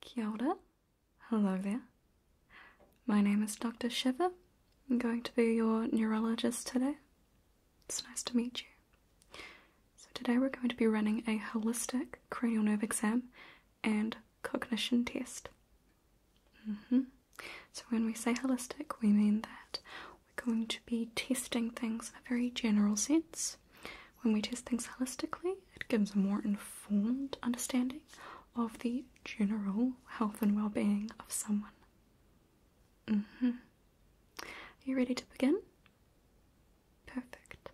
Kia ora. Hello there. My name is Dr. Shiva. I'm going to be your neurologist today. It's nice to meet you. So, today we're going to be running a holistic cranial nerve exam and cognition test. Mm-hmm. So, when we say holistic, we mean that we're going to be testing things in a very general sense. When we test things holistically, it gives a more informed understanding of the general health and well being of someone. hmm. Are you ready to begin? Perfect.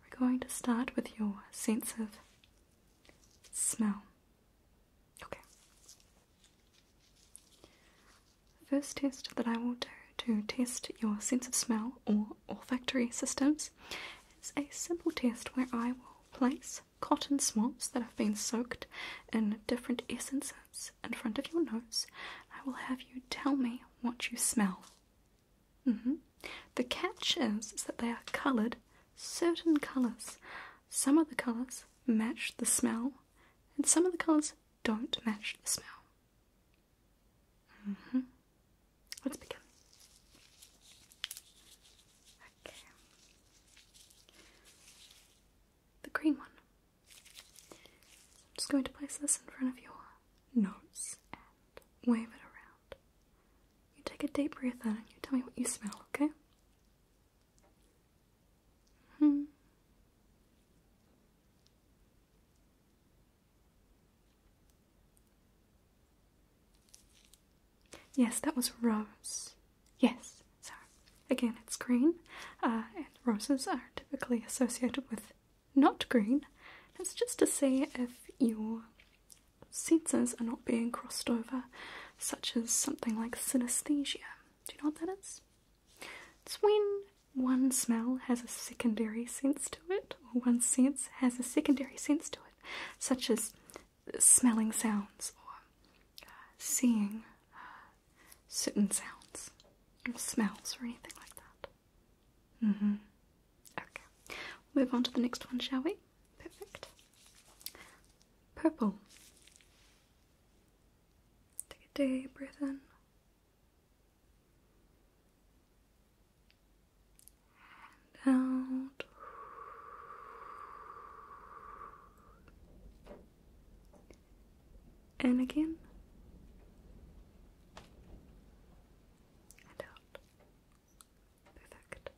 We're going to start with your sense of smell. Okay. First test that I will do to test your sense of smell or olfactory systems is a simple test where I will place cotton swabs that have been soaked in different essences in front of your nose. I will have you tell me what you smell. Mm-hmm. The catch is that they are coloured certain colours. Some of the colours match the smell, and some of the colours don't match the smell. Mm hmm Let's begin. Okay. The green one. I'm just going to place this in front of your nose and wave it around. You take a deep breath in and you tell me what you smell, okay? hmm. Yes, that was rose. Yes, sorry. Again, it's green, uh, and roses are typically associated with not green. It's just to see if your senses are not being crossed over, such as something like synesthesia. Do you know what that is? It's when one smell has a secondary sense to it, or one sense has a secondary sense to it, such as smelling sounds or uh, seeing uh, certain sounds smells or anything like that. Mm-hmm. Okay. move on to the next one, shall we? Perfect. Purple. Take a deep breath in and out. And again. And out. Perfect.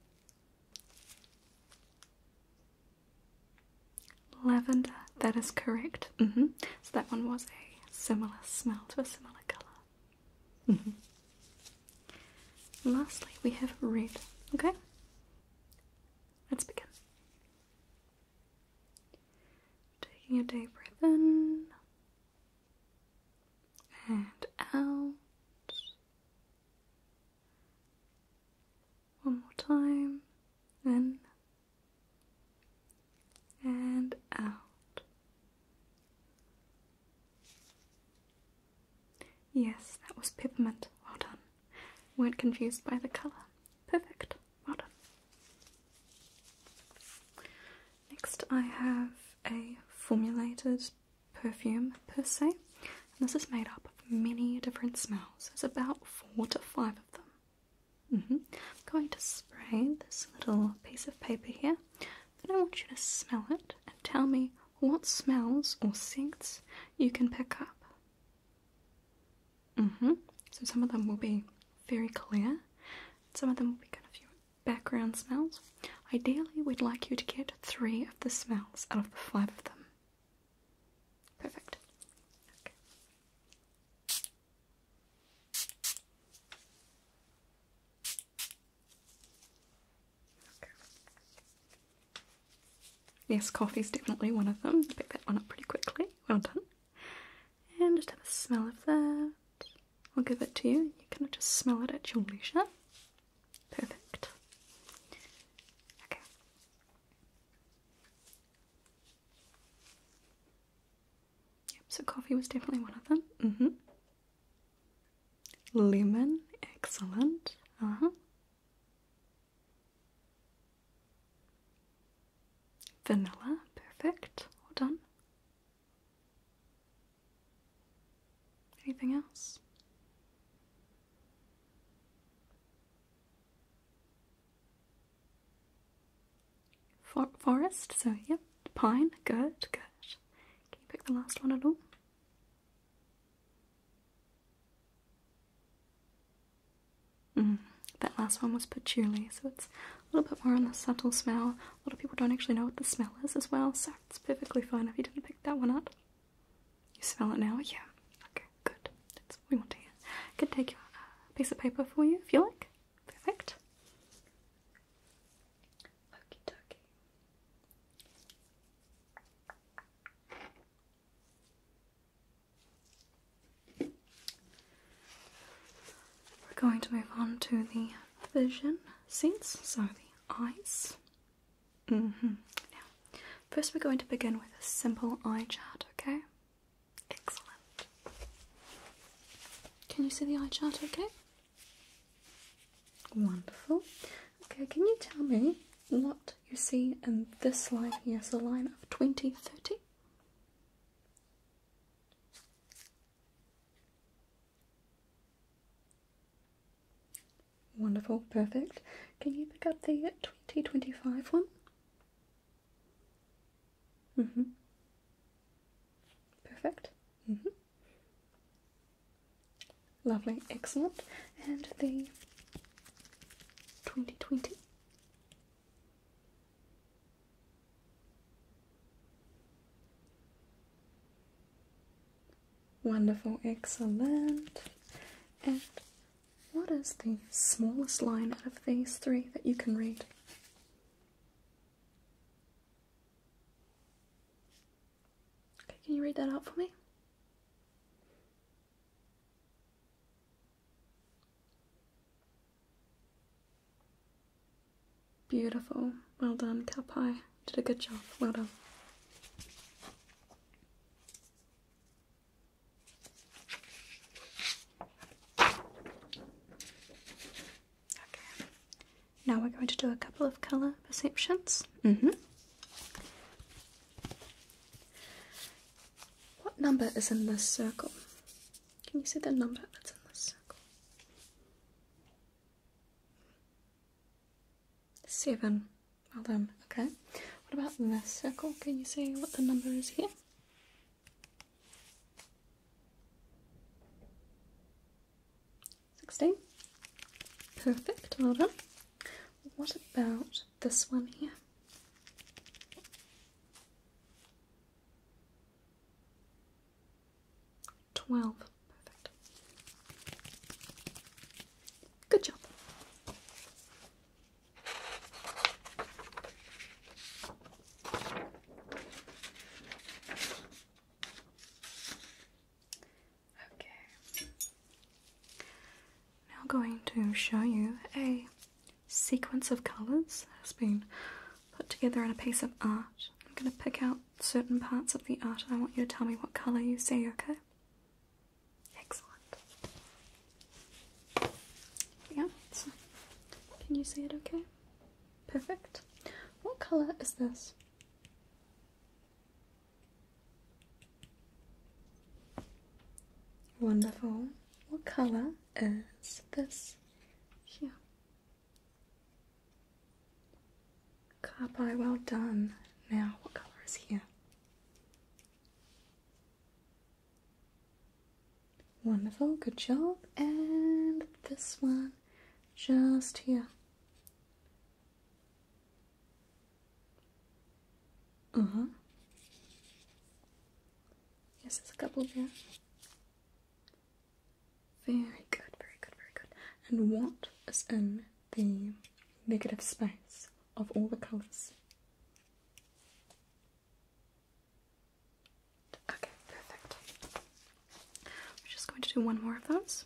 Lavender, that is correct. Mm-hmm. So that one was a similar smell to a similar colour. Mm-hmm. Lastly, we have red. Okay, let's begin. Taking a deep breath in and out. One more time, in and out. Yes, that was peppermint. Well done. Weren't confused by the colour. Perfect. Well done. Next, I have a formulated perfume per se, and this is made up of many different smells. There's about four to five of them. I'm mm-hmm. going to spray this little piece of paper here. Then I want you to smell it and tell me what smells or scents you can pick up. Mm-hmm. So some of them will be very clear, some of them will be kind of your background smells. Ideally, we'd like you to get three of the smells out of the five of them. Perfect. Okay. Yes, coffee's definitely one of them. pick that one up pretty quickly. Well done. And just have a smell of that. I'll give it to you. You can just smell it at your leisure. Perfect. Okay so coffee was definitely one of them. Mm-hmm. Lemon, excellent. Uh huh. Vanilla, perfect. Well done. Anything else? forest, so yep, pine, good, good. Can you pick the last one at all? Mm, that last one was patchouli, so it's a little bit more on the subtle smell. A lot of people don't actually know what the smell is as well, so it's perfectly fine if you didn't pick that one up. You smell it now? Yeah. Okay, good. That's what we want to hear. I could take a uh, piece of paper for you if you like. Perfect. Okie We're going to move on to the vision sense, so the eyes. Mm -hmm. Now, first we're going to begin with a simple eye chart, okay? Excellent. Can you see the eye chart okay? Wonderful. Okay, can you tell me what you see in this line here? It's a line of twenty thirty. Wonderful, perfect. Can you pick up the 2025 one? Mm hmm. Perfect. Mm hmm. Lovely, excellent. And the 2020. Wonderful, excellent. And what is the smallest line out of these three that you can read? Okay, can you read that out for me? Beautiful. Well done, Kapai. did a good job. Well done. Okay. Now we're going to do a couple of colour perceptions. Mm-hmm. What number is in this circle? Can you see the number that's in this circle? Seven. Well done. Okay. What about this circle? Can you see what the number is here? 16. Perfect, well done. What about this one here? Twelve. Perfect. Good job. Okay. Now going to show you a sequence of colours that has been put together in a piece of art. I'm going to pick out certain parts of the art I want you to tell me what colour you see, okay? Excellent. Yeah, can you see it okay? Perfect. What color is this? Wonderful. What color is this here? Carpi, well done. Now, what color is here? Wonderful, good job. And this one just here. Uh huh. Yes, there's a couple there. Very good, very good, very good. And what is in the negative space of all the colours? Okay, perfect. We're just going to do one more of those.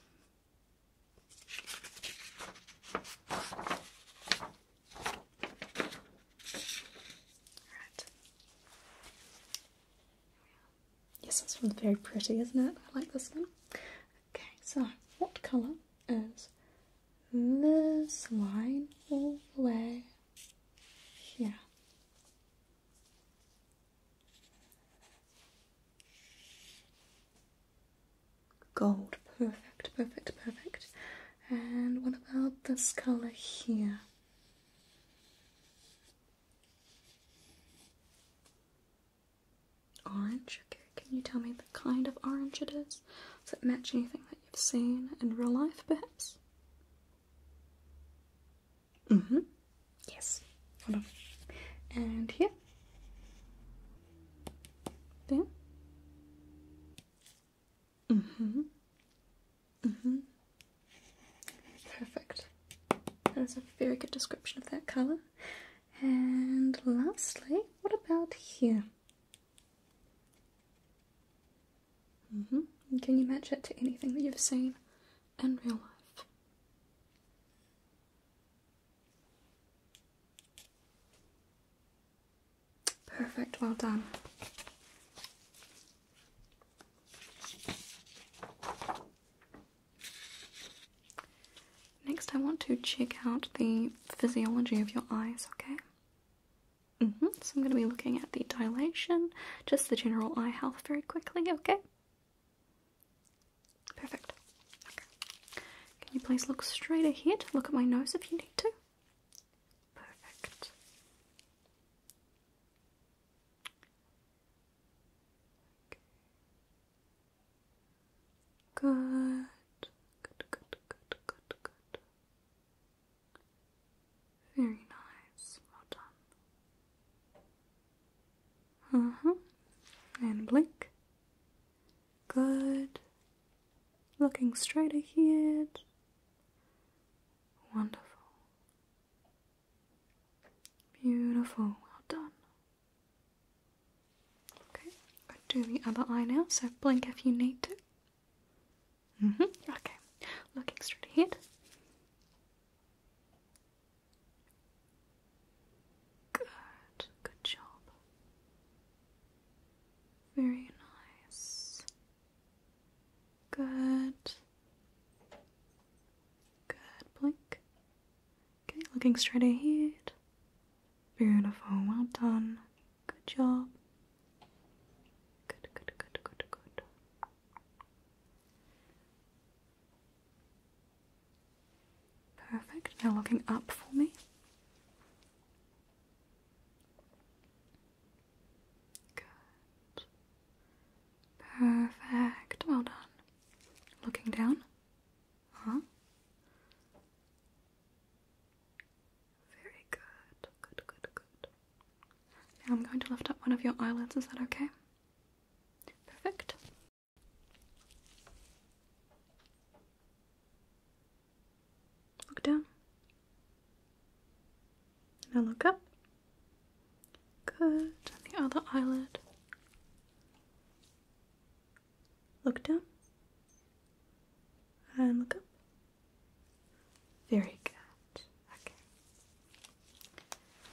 Yes, this one's very pretty, isn't it? I like this one. Okay, so what colour is this line all the way here? Gold, perfect, perfect, perfect. And what about this color here? Orange, okay. Can you tell me the kind of orange it is? Does it match anything that you've seen in real life, perhaps? Mm hmm. Yes. And here. There. Mm hmm. Mm hmm. Perfect. That is a very good description of that color. And lastly, what about here? Mm hmm. Can you match it to anything that you've seen in real life. Perfect, well done. Next, I want to check out the physiology of your eyes, okay? Mm -hmm. So I'm going to be looking at the dilation, just the general eye health very quickly, okay? Perfect. Can you please look straight ahead? Look at my nose if you need to. Perfect. Good. Good, good, good, good, good. Very nice. Well done. Uh mm-hmm. huh. And blink. Good. Looking straight ahead. Wonderful. Beautiful. Well done. Okay, I'll do the other eye now, so blink if you need to. Mm hmm Okay. Looking straight ahead. Good, good job. Very nice. Good. Good blink. looking straight ahead. Beautiful, well done. Good job. Good, good, good, good, good. Perfect. Now looking up for me. Good. Perfect. Well done. Looking down. Huh? Very good. Good, good, good. Now I'm going to lift up one of your eyelids. Is that okay? Perfect. Look down. Now look up. Good. And the other eyelid. Look down. And look up. Very good. Okay.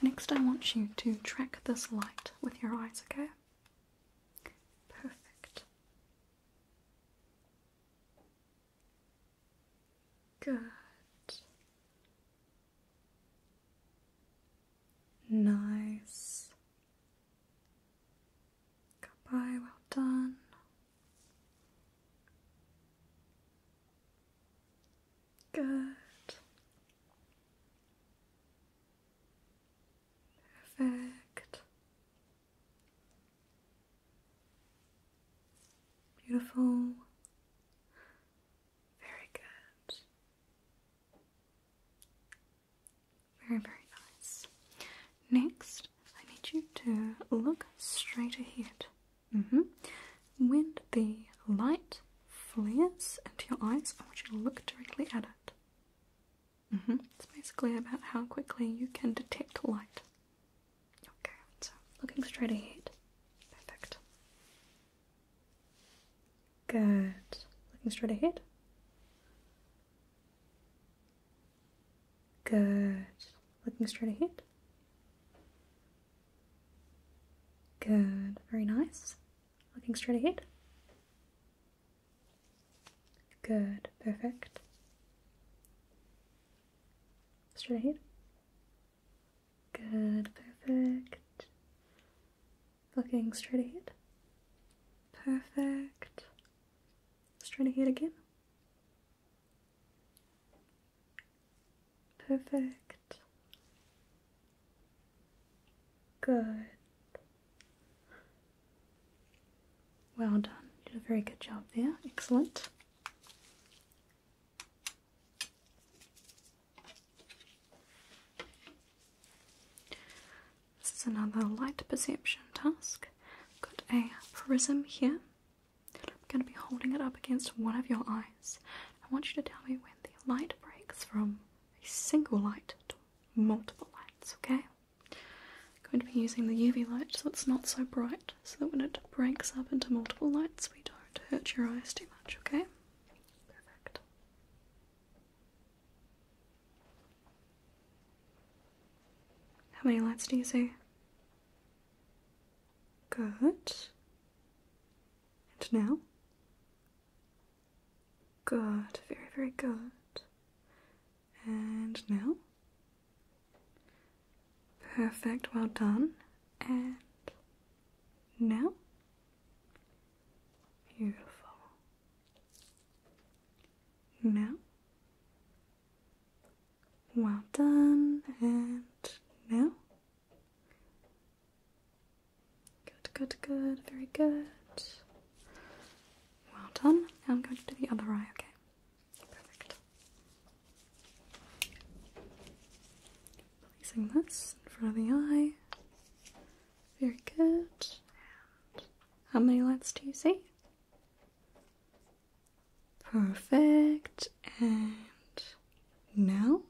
Next, I want you to track this light with your eyes, okay? Perfect. Good. Nice. Goodbye, well done. Good. Perfect. Beautiful. Very good. Very, very nice. Next, I need you to look straight ahead. Mm -hmm. When the light flares into your eyes, I want you to look directly at it. Mm -hmm. It's basically about how quickly you can detect light. Okay, so looking straight ahead. Perfect. Good. Looking straight ahead. Good. Looking straight ahead. Good, very nice. Looking straight ahead. Good, perfect. Straight ahead. Good, perfect. Looking straight ahead. Perfect. Straight ahead again. Perfect. Good. Well done. You did a very good job there. Excellent. This is another light perception task. Got a prism here. I'm going to be holding it up against one of your eyes. I want you to tell me when the light breaks from a single light to multiple lights, okay? I'm going to be using the UV light so it's not so bright, so that when it breaks up into multiple lights, we don't hurt your eyes too much, okay? Perfect. How many lights do you see? Good. And now? Good, very, very good. And now? Perfect, well done. And now? Beautiful. Now? Well done. And now? Good, good, good. Very good. Well done. Now I'm going to do the other eye, okay? Perfect. Placing this in front of the eye. Very good. how many lights do you see? Perfect. And now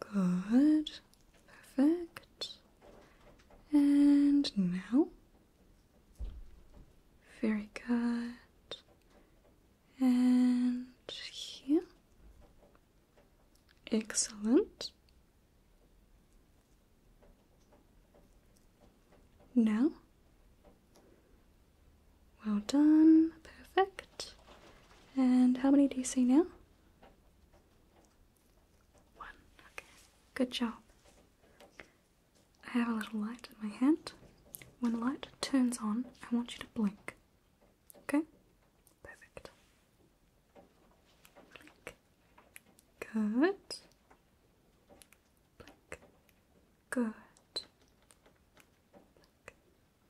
Good. Perfect. And now. Very good. And here. Excellent. Now, well done. Perfect. And how many do you see now? One. Okay. Good job. I have a little light in my hand. When light turns on, I want you to blink. Okay? Perfect. Blink. Good. Blink. Good.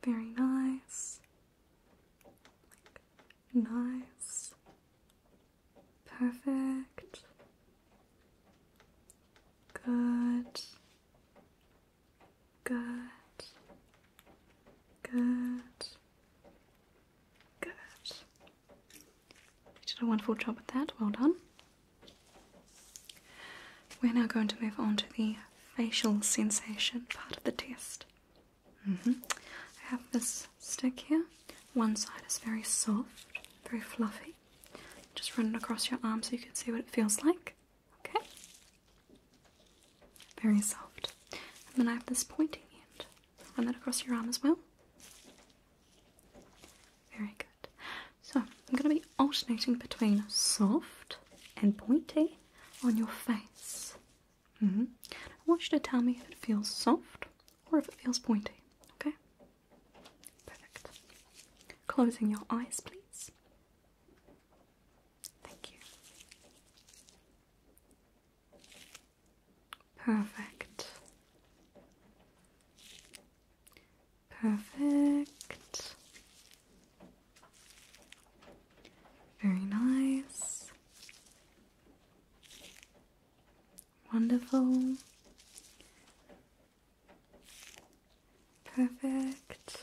Very nice. nice. Perfect. Good. Good. Good. Good. You did a wonderful job with that. Well done. We're now going to move on to the facial sensation part of the test. Mm-hmm. I have this stick here. One side is very soft, very fluffy. Just run it across your arm so you can see what it feels like. Okay? Very soft. And then I have this pointy end. Run that across your arm as well. Very good. So I'm going to be alternating between soft and pointy on your face. Mm-hmm. I want you to tell me if it feels soft or if it feels pointy. Okay? Perfect. Closing your eyes, please. Thank you. Perfect. Perfect. Very nice. Wonderful. Perfect.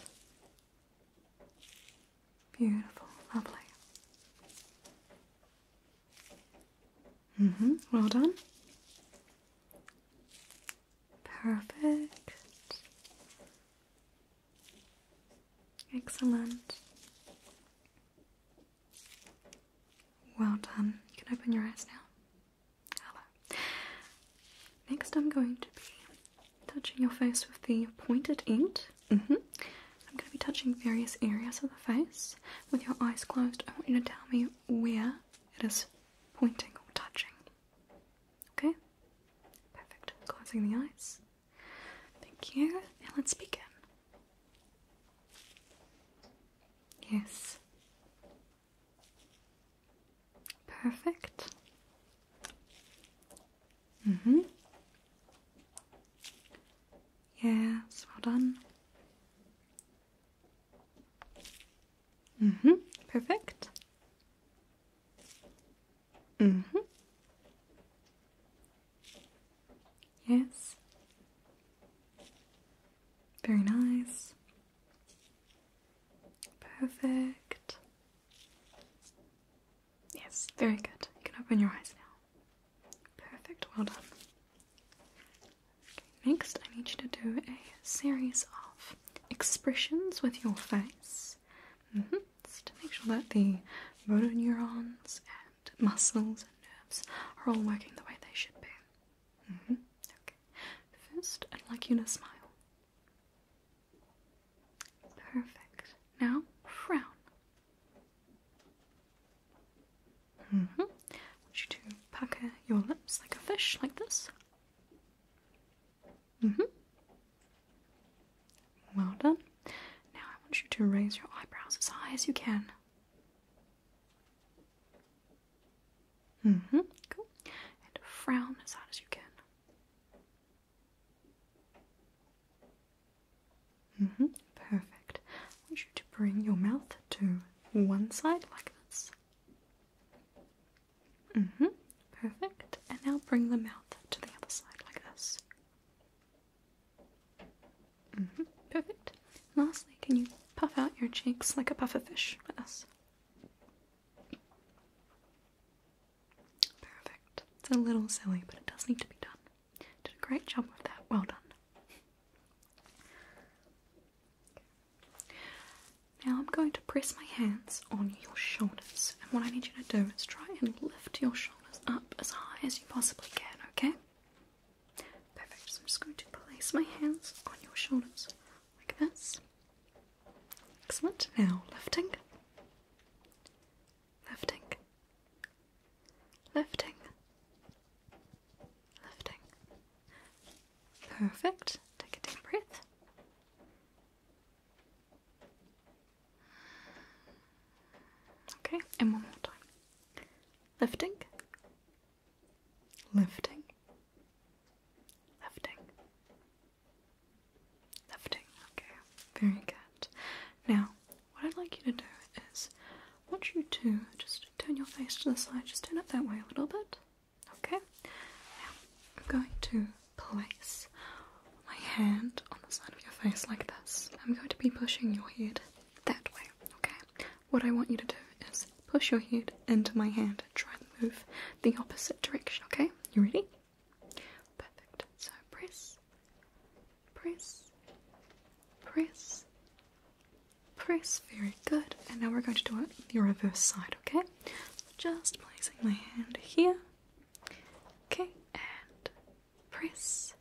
Beautiful. Lovely. Mm-hmm. Well done. Perfect. Excellent. Well done. You can open your eyes now. Hello. Next, I'm going to be touching your face with the pointed end. Mm-hmm. I'm going to be touching various areas of the face with your eyes closed. I want you to tell me where it is pointing or touching. Okay? Perfect. Closing the eyes. Thank you. And let's begin. Yes. Perfect. Mm-hmm. Yes, well done. Mm-hmm. Perfect. Mm hmm. Yes. Very nice. Perfect. Yes, very good. You can open your eyes now. Perfect, well done. Okay, next, I need you to do a series of expressions with your face. Mm -hmm to make sure that the motor neurons and muscles and nerves are all working the way they should be. Mm-hmm. Okay. First, I'd like you to smile. Perfect. Now, frown. Mm -hmm. want you to pucker your lips like a fish, like this hmm. Well done. Now I want you to raise your eyebrows as high as you can. hmm. Cool. And frown as hard as you can. hmm. Perfect. I want you to bring your mouth to one side like this. hmm. Perfect. And now bring the mouth to the other side like this. Mm-hmm. Perfect. lastly, can you puff out your cheeks like a pufferfish with us? Perfect. It's a little silly, but it does need to be done. Did a great job with that. Well done. Now I'm going to press my hands on your shoulders. And what I need you to do is try and lift your shoulders up as high as you possibly can, okay? Perfect. So I'm just going to place my hands on your shoulders like this. Excellent. Now lifting. Lifting. Lifting. Lifting. Perfect. Take a deep breath. Okay, and one more time. Lifting, lifting, lifting, lifting. Okay, very good. Now, what I'd like you to do is, once you do, just turn your face to the side, just turn it that way a little bit. Okay, now I'm going to place my hand on the side of your face like this. I'm going to be pushing your head that way, okay? What I want you to do is push your head into my hand. Try and move the opposite direction, okay? You ready? Perfect. So press, press, press, press. Very good. And now we're going to do it the reverse side, okay? just placing my hand here Okay, and press,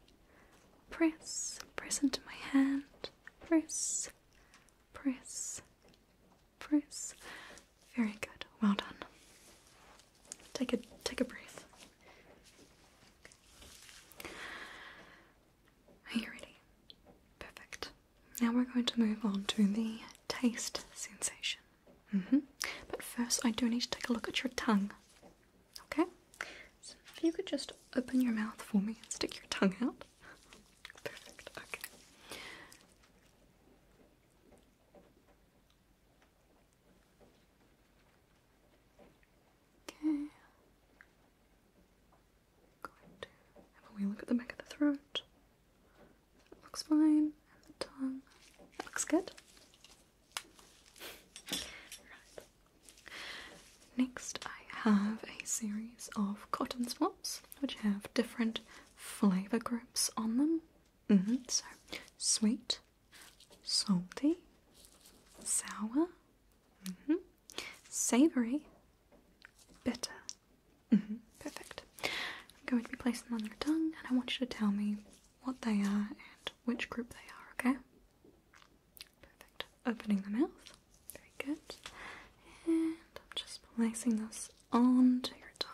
press, press into my hand, press, press, press. Very good. Well done. Take a take a breath. Are you ready? Perfect. Now we're going to move on to the taste sensation. Mm-hmm. But first, I do need to take a look at your tongue. Okay? So if you could just open your mouth for me and stick your tongue out. Perfect. Okay. Okay. going to have a wee look at the back of the throat. looks fine. the tongue. looks good. Next, I have a series of cotton swabs which have different flavour groups on them. Mm-hmm. So, sweet, salty, sour, mm-hmm. savoury, bitter. Mm-hmm. Perfect. I'm going to be placing them on your tongue, and I want you to tell me what they are and which group they are, okay? Perfect. Opening the mouth. Very good. And I'm just placing this onto your tongue.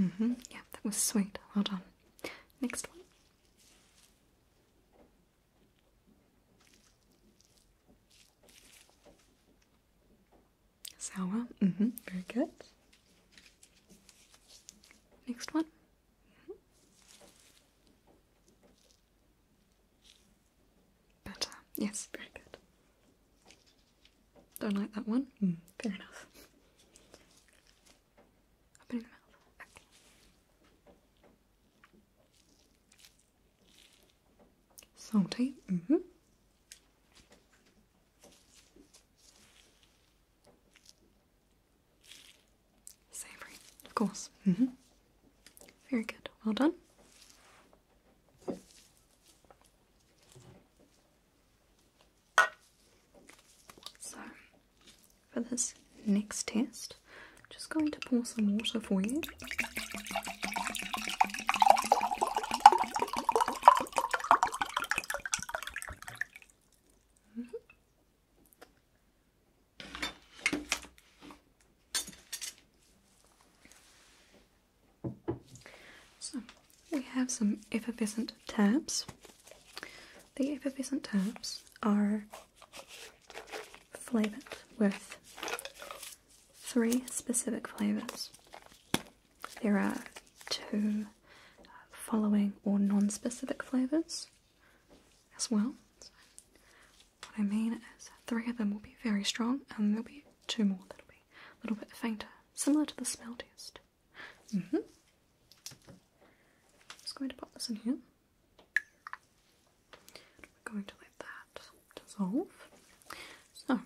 Mm-hmm. Yeah, that was sweet. Well done. Next one. Sour. Mm-hmm. Very good. Next one. Better. Yes, very good. Don't like that one? Mm, fair enough. Open the mouth. Okay. Salty. Mm-hmm. Savory, of course. Mm-hmm. Very good. Well done. So for this next test, just going to pour some water for you. So we have some effervescent tabs. The effervescent tabs are flavors with three specific flavors. There are two following or non specific flavors as well. what I mean is, three of them will be very strong, and there'll be two more that'll be a little bit fainter, similar to the smell test. Mm -hmm. Just going to pop this in here. We're going to let that dissolve. So,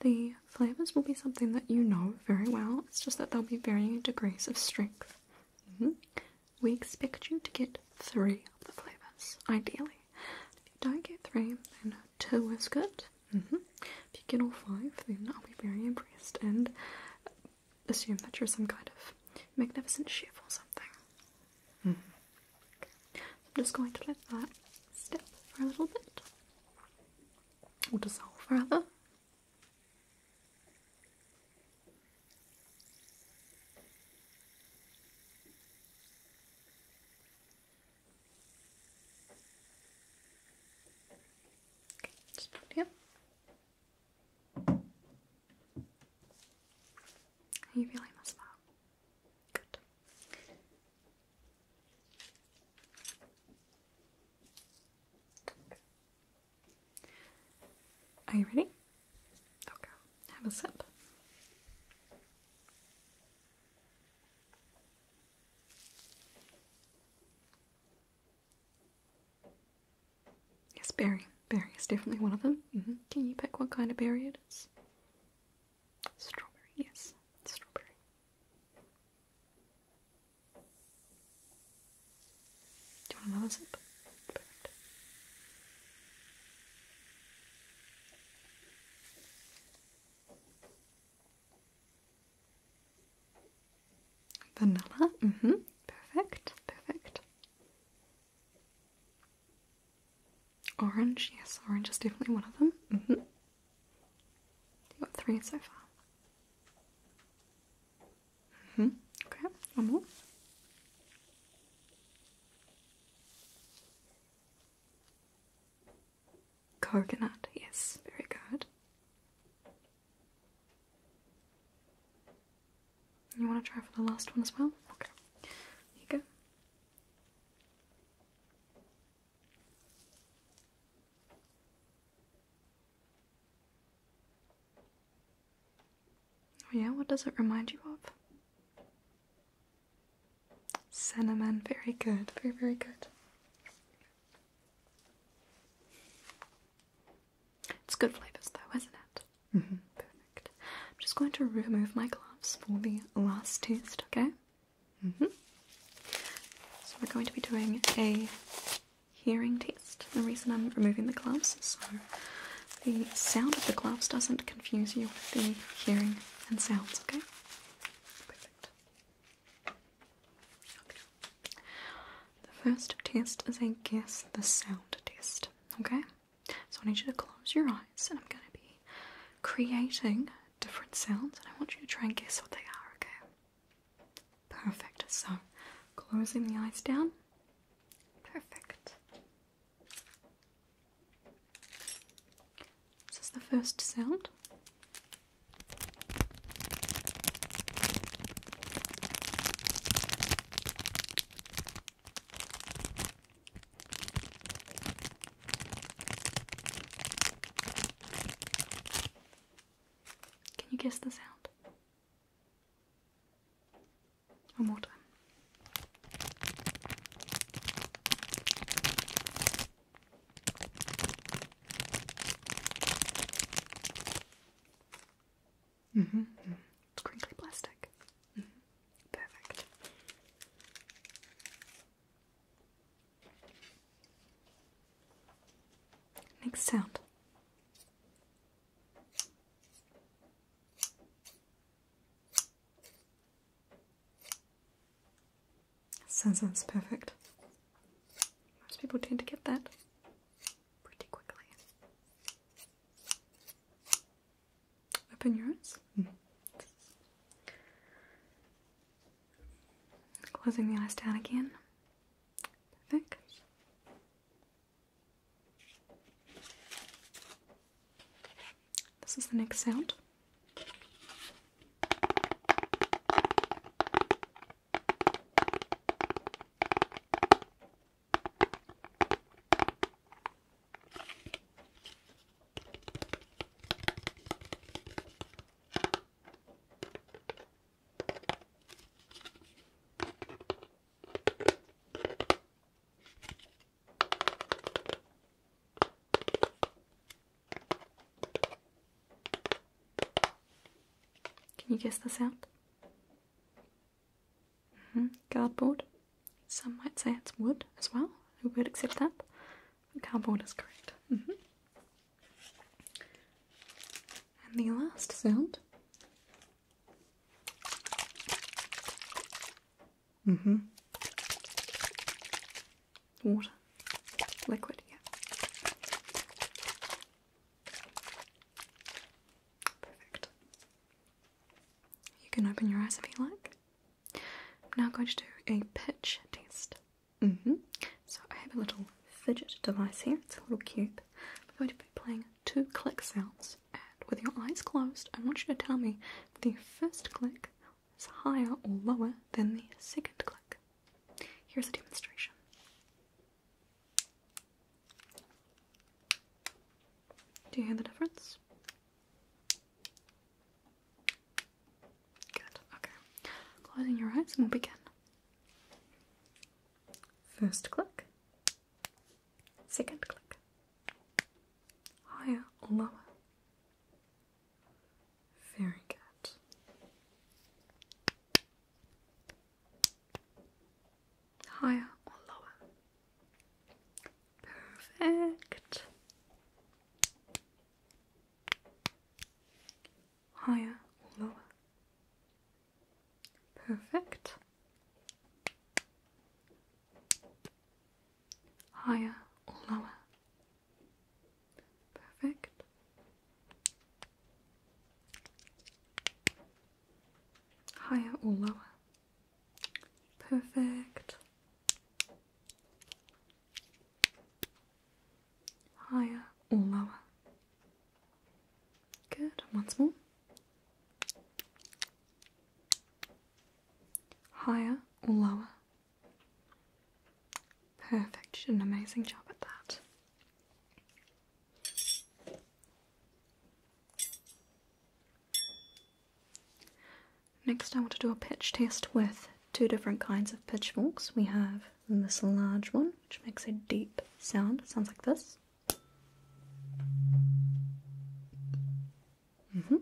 the flavors will be something that you know very well, it's just that there will be varying degrees of strength. Mm-hmm. We expect you to get three of the flavors, ideally. If you don't get three, then two is good. Mm-hmm. If you get all five, then I'll be very impressed and assume that you're some kind of magnificent chef or something. Hmm. I'm just going to let that step for a little bit, or dissolve rather. Okay, just here. You really must Good. Are you ready? Okay, have a sip. Yes, berry. Berry is definitely one of them. Mm-hmm. Can you pick what kind of berry it is? Strawberry, yes. Strawberry. Vanilla, hmm Perfect, perfect. Orange, yes, orange is definitely one of them. Mm-hmm. You got three so far. Mm-hmm. Okay, one more. Coconut, yes, very good. You want to try for the last one as well? Okay. Here you go. Oh yeah, what does it remind you of? Cinnamon, very good, very, very good. It's good flavours though, isn't it? Mm-hmm. Perfect. I'm just going to remove my gloves for the last test, okay? Mm-hmm. So we're going to be doing a hearing test. The reason I'm removing the gloves so the sound of the gloves doesn't confuse you with the hearing and sounds, okay? Perfect. The first test is a guess the sound test, okay? So I need you to close your eyes and I'm going to be creating different sounds and I want you to try and guess what they are, okay? Perfect. So closing the eyes down. Perfect. This is the first sound. Can you guess the sound? One more time. Mm -hmm. It's mm-hmm. crinkly plastic. Mm-hmm. Perfect. Next sound. Sounds perfect. Most people tend to get that pretty quickly. Open your eyes. Mm. Closing the eyes down again. Perfect. This is the next sound. Can you guess the sound? Mm -hmm. Cardboard. Some might say it's wood as well. I would accept that. cardboard is correct. Mm-hmm. And the last sound. Mm hmm. Water. Liquid, yeah. Perfect. You can open your eyes if you like. I'm now going to do a pitch test. Mm-hmm. So I have a little fidget device here, it's a little cube. I'm going to be playing two click sounds, and with your eyes closed, I want you to tell me if the first click is higher or lower than the second click. Here's a demonstration. Do you hear the difference? Good, okay. Closing your eyes and we'll begin. First click, second click, higher or lower. Very good higher or lower? Perfect. Higher or lower? Perfect. Higher or lower? Perfect. Higher or lower? Perfect. Higher or lower? Good. Once more. Higher or lower? Perfect. an amazing job at that. Next I want to do a pitch test with two different kinds of pitchforks. We have this large one which makes a deep sound, it sounds like this. Mm-hmm.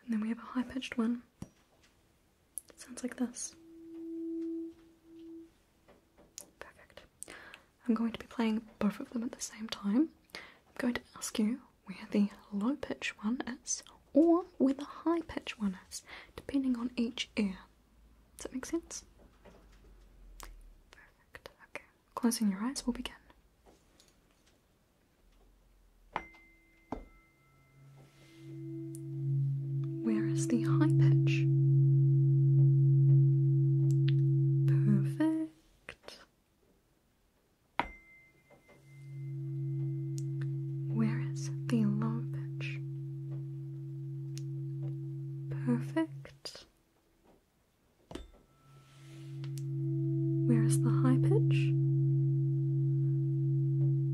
And then we have a high pitched one. It sounds like this. Perfect. I'm going to be playing both of them at the same time. I'm going to ask you where the low pitch one is or where the high pitch one is, depending on each ear. Does that make sense? Perfect. Okay. Closing your eyes, we'll begin. Where is the high pitch? Perfect. Where is the long pitch? Perfect. Where is the high pitch?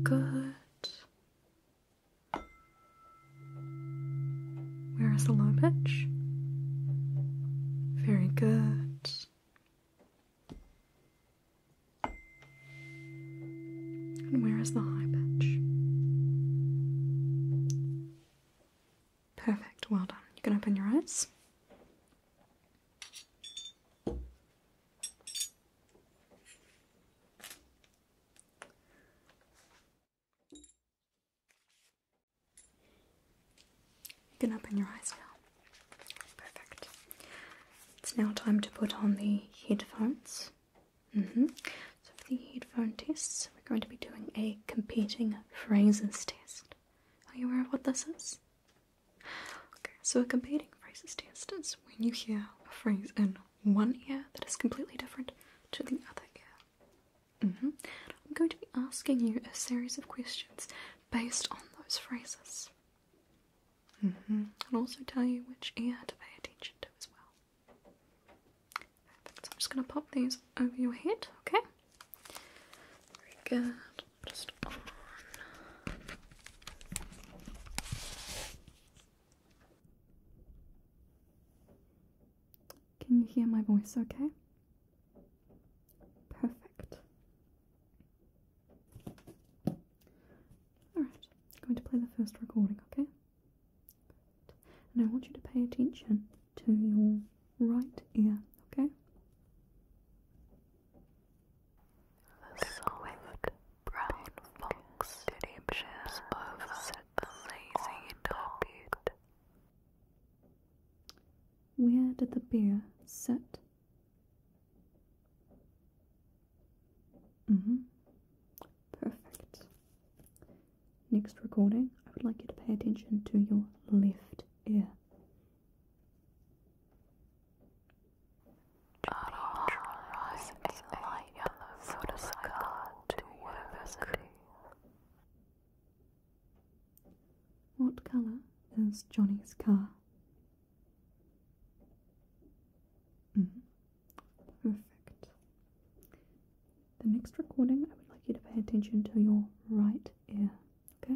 Good. Where is the low pitch? Very good. And where is the high pitch? Perfect, well done. You can open your eyes. You can open your eyes now. Perfect. It's now time to put on the headphones. -hmm. So, for the headphone test, we're going to be doing a competing phrases test. Are you aware of what this is? Okay, so a competing phrases test is when you hear a phrase in one ear that is completely different to the other ear. Mm-hmm. I'm going to be asking you a series of questions based on those phrases. Mm I'll also tell you which ear to pay attention to as well. I'm just going to pop these over your head, okay? Very good. Just on. Can you hear my voice okay? Perfect. Alright, I'm going to play the first recording, okay? And I want you to pay attention to your right ear, okay? The soft brown fox shapes over the lazy dog. Where did the beer sit? Mm-hmm. Perfect. Next recording, I would like you to pay attention to your left ear. What colour is Johnny's car? Mm-hmm. Perfect. The next recording, I would like you to pay attention to your right ear, okay?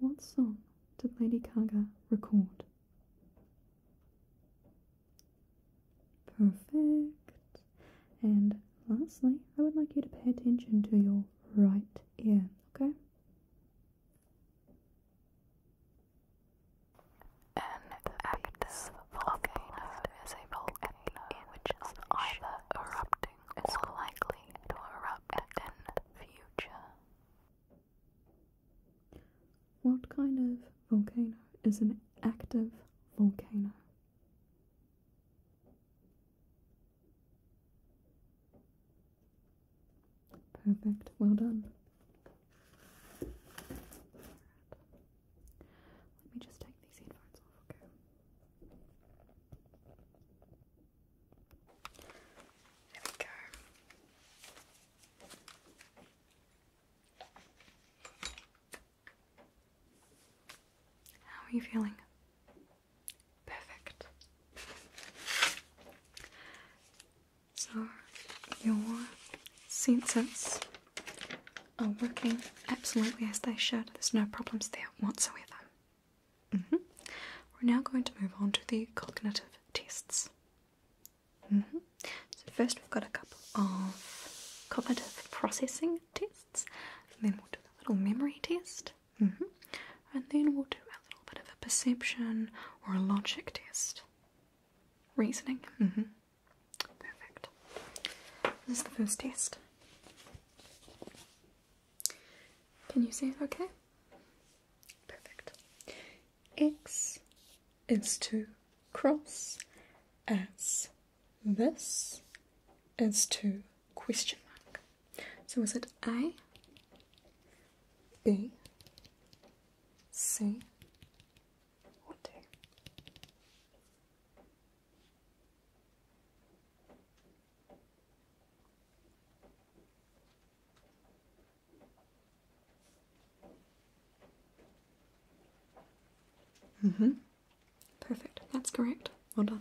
What song did Lady Gaga record? Perfect. And lastly, I would like you to pay attention to your right ear, okay? An active volcano is a volcano which is either erupting or likely to erupt in future. What kind of volcano is an active volcano? Perfect, well done. Let me just take these headphones off, okay? There we go. How are you feeling? Perfect. So, your senses are working absolutely as they should. There's no problems there whatsoever. Mm-hmm. We're now going to move on to the cognitive tests. Mm-hmm. So, first we've got a couple of cognitive processing tests, and then we'll do a little memory test, mm-hmm. and then we'll do a little bit of a perception or a logic test. Reasoning? Perfect. This is the first test. Can you see it okay? Perfect. X is to cross as this is to question mark. So is it A, B, C, or D? Mm hmm. Perfect. That's correct. Well done.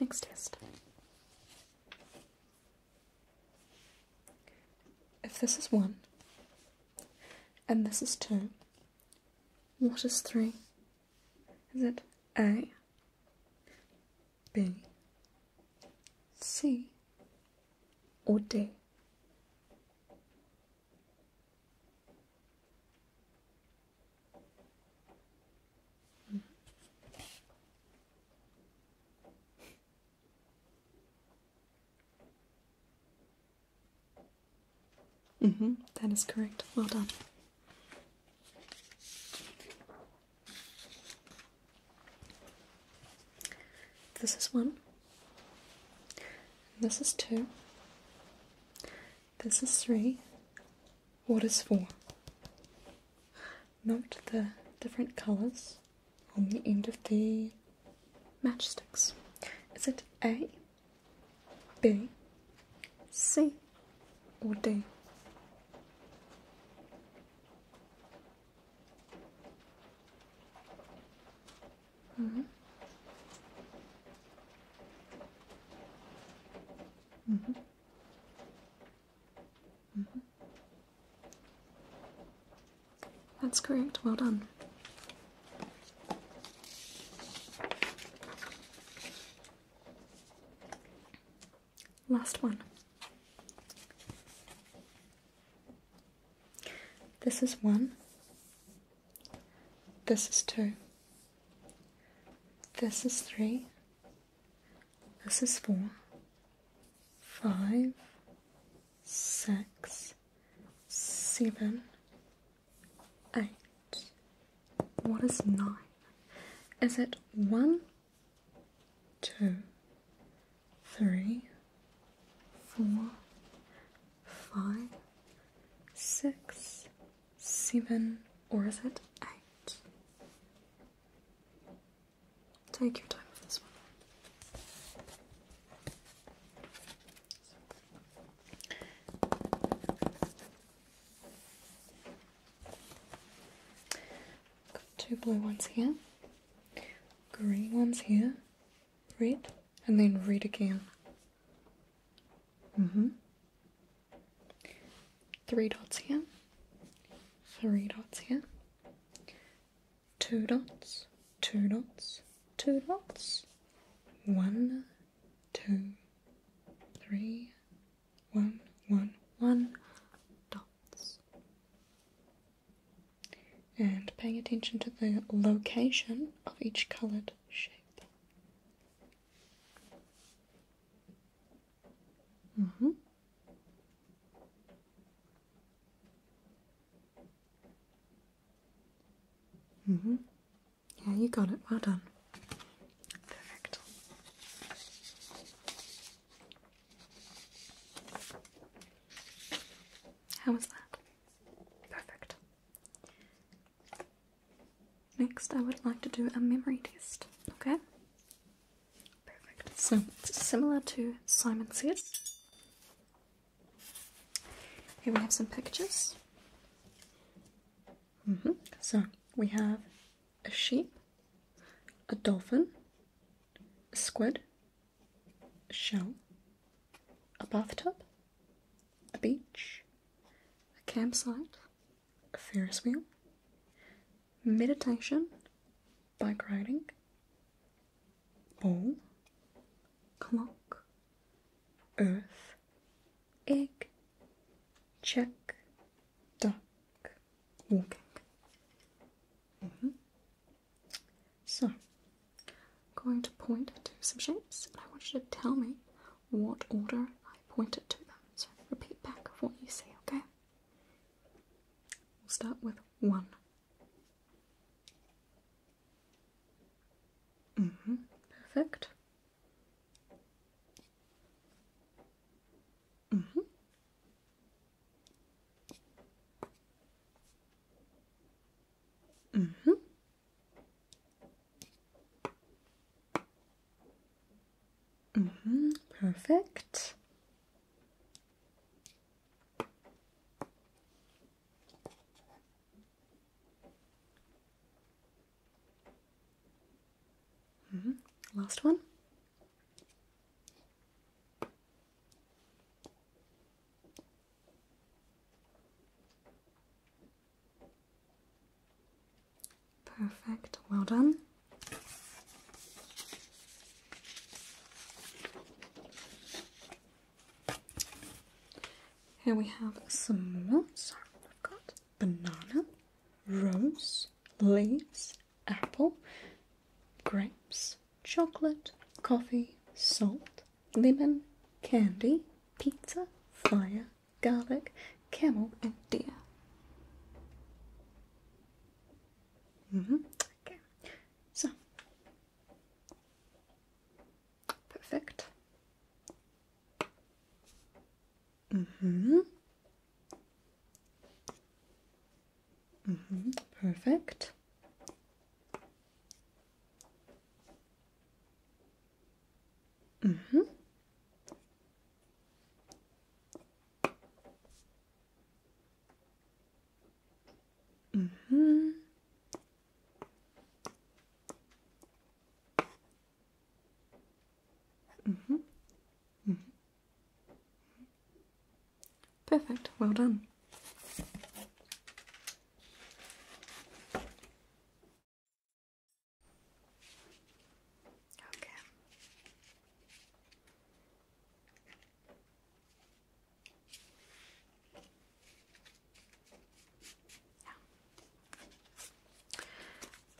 Next test. If this is one and this is two, what is three is it A, B, C, or D? Mm-hmm, that is correct. Well done. This is one. This is two. This is three. What is four? Note the different colours on the end of the matchsticks. Is it A? B, C, or D? Mm -hmm. Mm -hmm. Mm-hmm. That's correct. Well done. Last one. This is one. This is two. This is three. This is four. Five. Six. Seven eight. What is nine? Is it one, two, three, four, five, six, seven, or is it eight? Take your time with this one. Got two blue ones here, green ones here, red, and then red again. Mm hmm. Three dots here, three dots here, two dots, two dots, two dots, one, two, three, one, one, one dots. And paying attention to the location of each coloured shape. Mm -hmm. Mm -hmm. Yeah, you got it. Well done. Perfect. How was that? Perfect. Next, I would like to do a memory test, okay? Perfect. So, similar to Simon Says, here we have some pictures. Mm -hmm. So, we have a sheep, a dolphin, a squid, a shell, a bathtub, a beach, a campsite, a Ferris wheel, meditation, bike riding, ball, clock, earth, egg, check, dark walking. So, I'm going to point to some shapes, and I want you to tell me what order I pointed to them. So, repeat back what you say, okay? We'll start with one. -hmm. Perfect. Mm -hmm. Mm -hmm. Mm -hmm. Perfect. Mm-hmm. Last one. Perfect, well done. Here we have some more. Sorry, I've banana, rose, leaves, apple, grapes, chocolate, coffee, salt, lemon, candy, pizza, fire, garlic, camel, and deer. Mm -hmm. Okay, so perfect. Mm-hmm. Mm-hmm. Perfect. Mm-hmm. Mm-hmm. Mm-hmm. Mm-hmm. Perfect. Well done. Okay.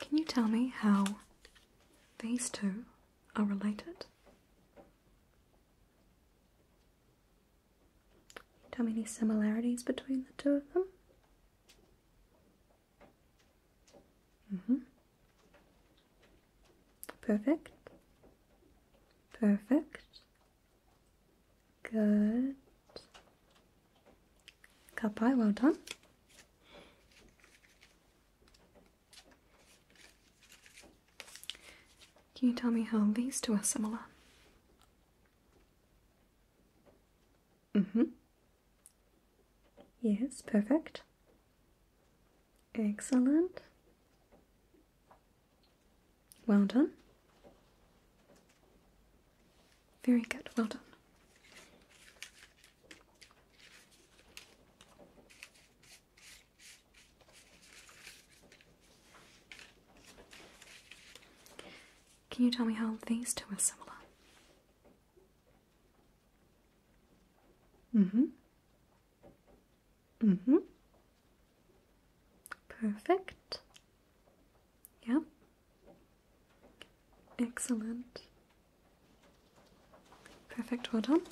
Can you tell me how these two are related. Tell me any similarities between the two of them? hmm Perfect. Perfect. Good. Cup pie, well done. Can you tell me how these two are similar? Mm-hmm. Yes, perfect. Excellent. Well done. Very good, well done. Can you tell me how these two are similar? Mm-hmm. Mm-hmm. Perfect. Yeah. Excellent. Perfect, well done.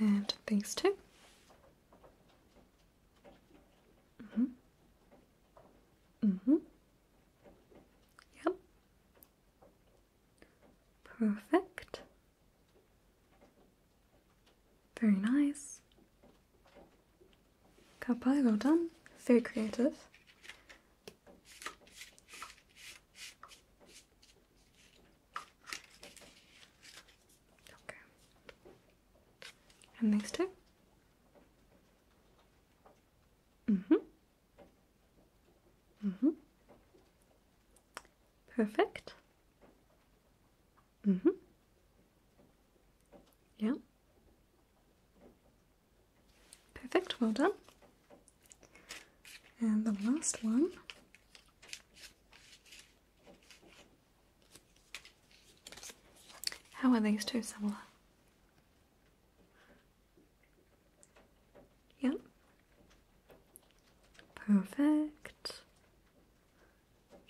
And these two. Mm-hmm. Mm-hmm. Yep. Perfect. Very nice. Kapai, well done. Very creative. Okay. And next two. Mm-hmm. Mm-hmm. Perfect. Mm-hmm. Yeah. Perfect, well done. And the last one. How are these two similar? Yep. Perfect.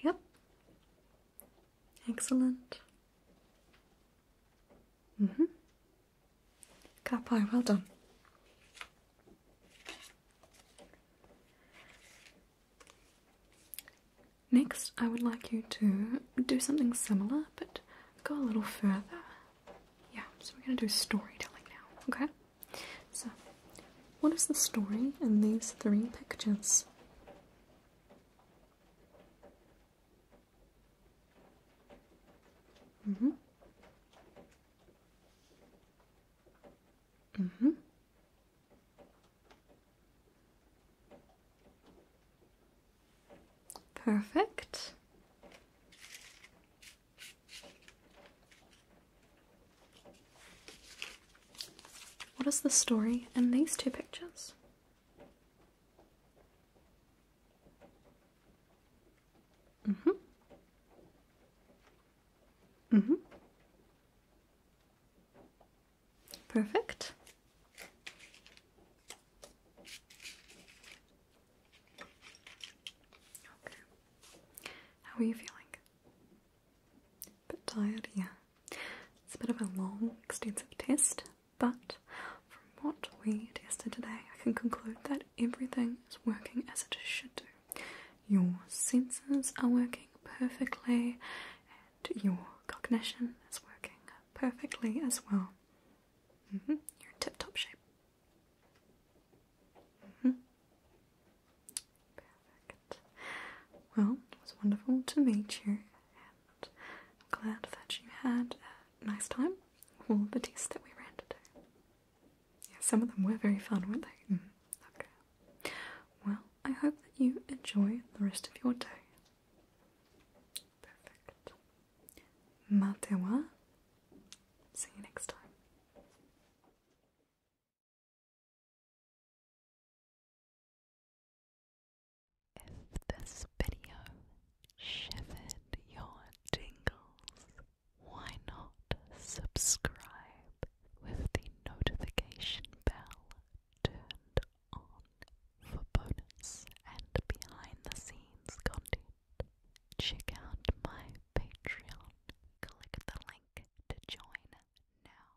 Yep. Excellent. Mm-hmm. Cat pie, well done. Next, I would like you to do something similar, but go a little further. Yeah, so we're going to do storytelling now, okay? So, what is the story in these three pictures? Mhm. Mhm. Perfect. What is the story in these two pictures? Mm-hmm. Mm-hmm. Perfect. Okay. How are you feeling? bit tired, yeah. It's a bit of a long, extensive test, but from what we tested today, I can conclude that everything is working as it should do. Your senses are working perfectly, and your cognition is working perfectly as well. Mm-hmm. You're in tip top shape. Mm-hmm. Well, it was wonderful to meet you, and glad that you had a nice time. All the tests that we ran today. Yeah, some of them were very fun, weren't they? Mm, okay. Well, I hope that you enjoy the rest of your day. Perfect. Matewa. See you next time. If this video shivered your tingles, why not subscribe with the notification bell turned on for bonus and behind the scenes content? Check out my Patreon. Click the link to join now.